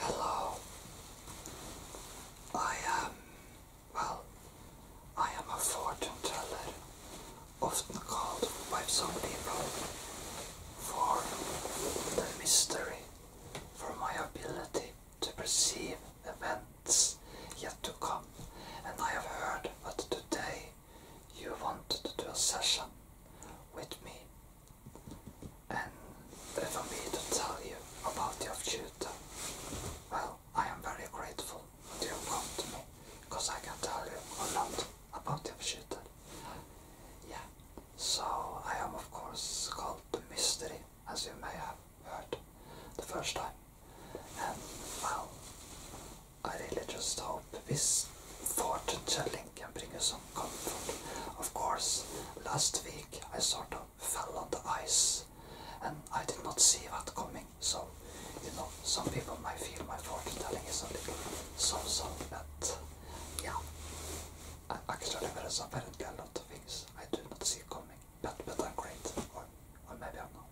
Hello. I am, well, I am a fortune teller, often called by some people for the mystery, for my ability to perceive events yet to come. And I have heard that today you want to do a session with me and for me to tell you about your future. Well, I am very grateful that you come to me because I can tell you a lot about your future. Yeah, so I am of course called the mystery as you may have heard the first time and well I really just hope this fortune telling can bring you some comfort. Of course, last week I sort of fell on the ice and I did not see what coming, so you know, some people might feel my fortune telling is a little so so, but yeah, actually, there is apparently a lot of things I do not see coming, but, but I'm great, or, or maybe I'm not.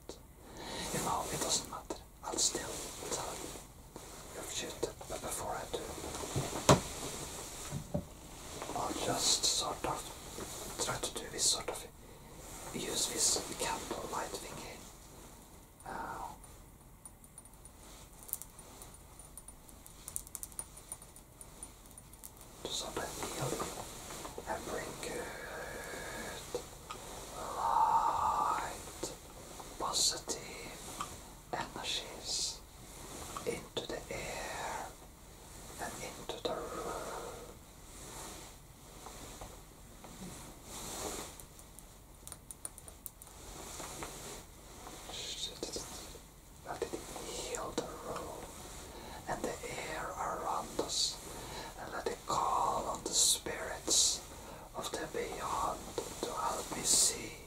You know, it doesn't matter. I'll still tell you you've cheated, but before I do, I'll just sort of try to do this sort of use this candlelight light thingy. to sort of heal and good light, positive energies into the air and into the room. Let it heal the room and the air around us and let call on the spirits of the beyond to help me see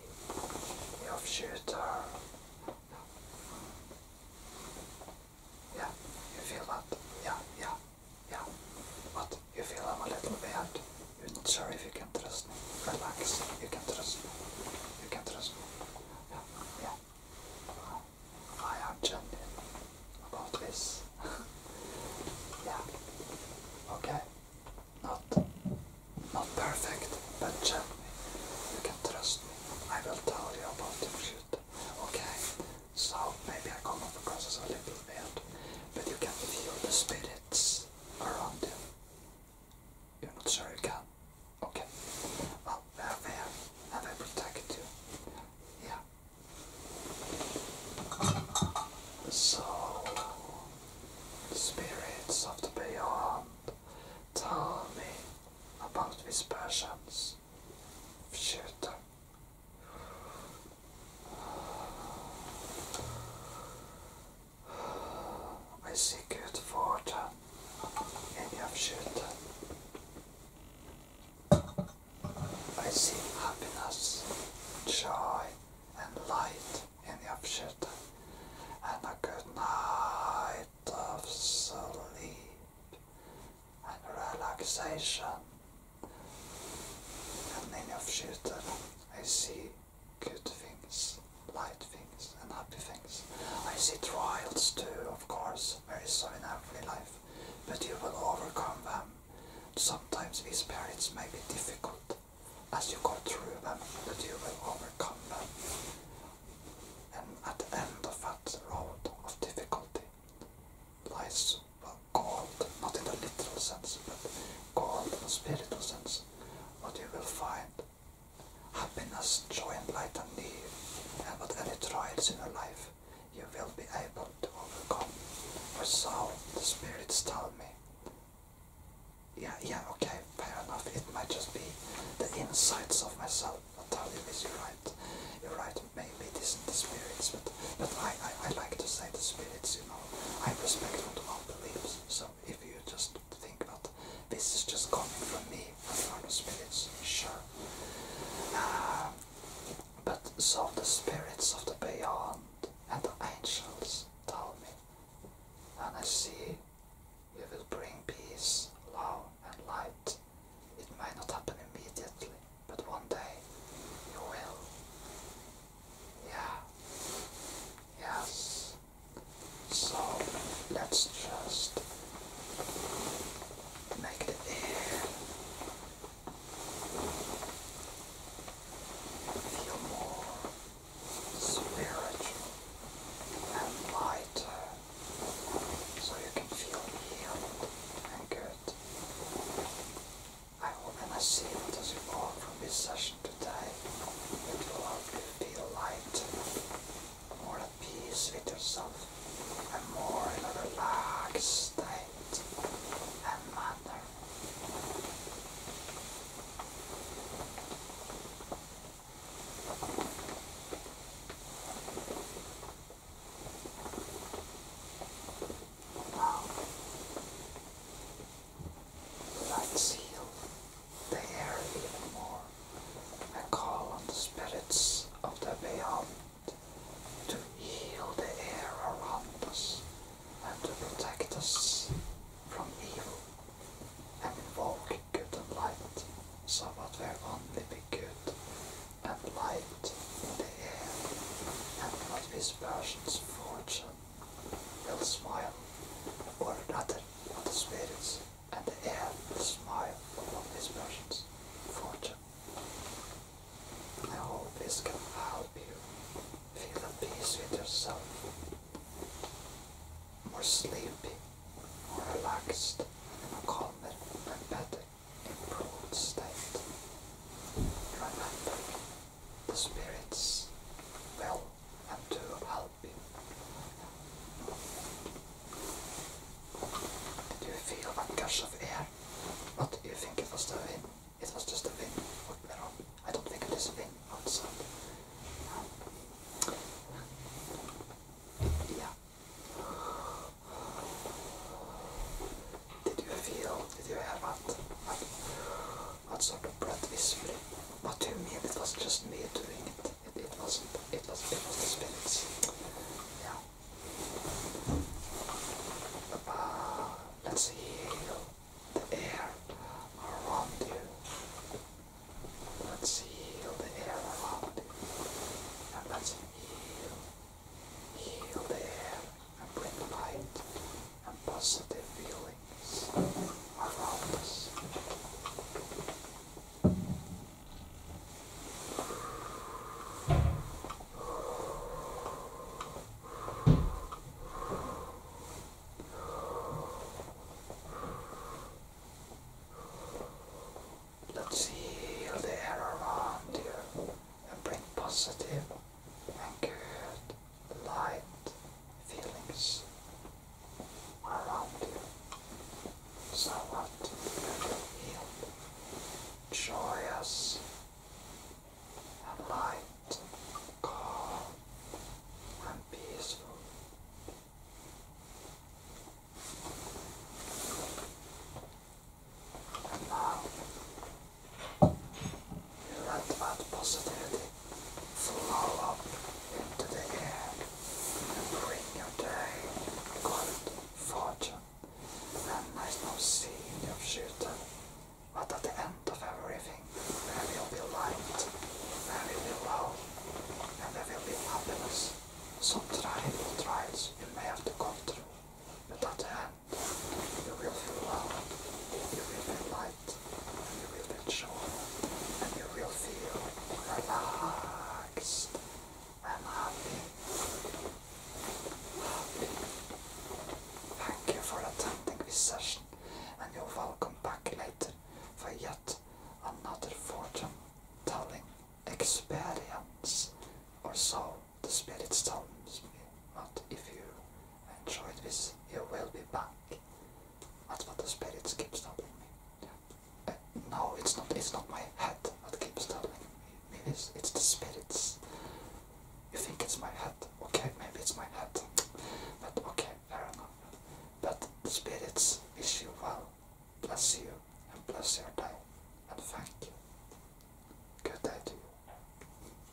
your future. Yeah, you feel that? Yeah, yeah, yeah. But you feel I'm a little bad. You're sorry if you can trust me. Relax. You can trust me. You can trust me. Yeah, yeah. I am genuine about this. yeah. Okay. Not not perfect, but genuine. You can trust me. I will tell you about the shit. Okay. So maybe I come across as a little weird, but you can feel the spirits around you. You're not sure you can? Okay. Well, they're there and they protect you. Yeah. The soul, the spirits of the beyond, tell me about these passions of I see good in your shooting. I see happiness, joy, and light in the upshift, and a good night of sleep and relaxation. And in the upshift, I see good things, light things, and happy things. I see trials too, of course, very so in every life but you will overcome them. Sometimes these periods may be difficult as you go through them, but you will overcome them. And at the end of that road of difficulty lies well, gold, not in the literal sense, but gold in the spiritual sense, what you will find happiness, joy, and light and on any trials in your life you will be able to overcome. For so the spirits told me. Yeah, yeah, okay, fair enough. It might just be the insights of myself that tell you this. You're right. You're right. Maybe it isn't the spirits, but but I, I, like to say the spirits. You know, I respect all beliefs. So if you just think that this is just coming from me for spirits, sure. Uh, but so the spirits of the beyond and the angels tell me, and I see you will bring peace, love, and light. It may not happen immediately, but one day you will. Yeah. Yes. So let's just make the air feel more spiritual and lighter so you can feel healed and good. I hope and I see that as you go from this session today, it will help feel light more at peace with yourself and more in a relaxed state and manner. Now, let's heal the air even more and call on the spirits of the beyond to heal the air around us and to protect us from evil and invoke good and light so that there only be good and light in the air and not this person's fortune will smile or rather the spirits and the air will smile upon his passions. Fortune. I hope this can help you feel at peace with yourself, more sleepy, more relaxed, and in a calmer better improved state. Remember, the spirits will and to help you. Did you feel a gust of air? What do you think it was the wind. It was just the wind. What went wrong? I don't think it is wind outside. Yeah. Did you feel? Did you hear that? outside of breath visibly. Not to me, it was just me doing it. It, it wasn't, it was, it was the spirits. Yeah. Uh, let's heal the air around you. Let's heal the air around you. And let's heal, heal the air and bring light and positive feel Let's heal the air around you and bring positive and good light feelings around you. So what you feel joyous and light, calm and peaceful. You let that positivity flow up into the air and bring your day good fortune. And there is no seed of shooter, but at the end of everything there will be light, there will be love, and there will be happiness. Some trial trials you may have to go through, but at the end you will feel you will feel light light, you will enjoy and you will feel relaxed and happy. happy. Thank you for attending this session and you're welcome back later for yet another fortune telling experience or so the spirit tell me, not if you enjoy this, you will be back. That's what the spirits keep telling me. Uh, no, it's not It's not my head that keeps telling me this, it's the spirits. You think it's my head, okay, maybe it's my head, but okay, fair enough. But the spirits wish you well, bless you, and bless your day, and thank you. Good day to you.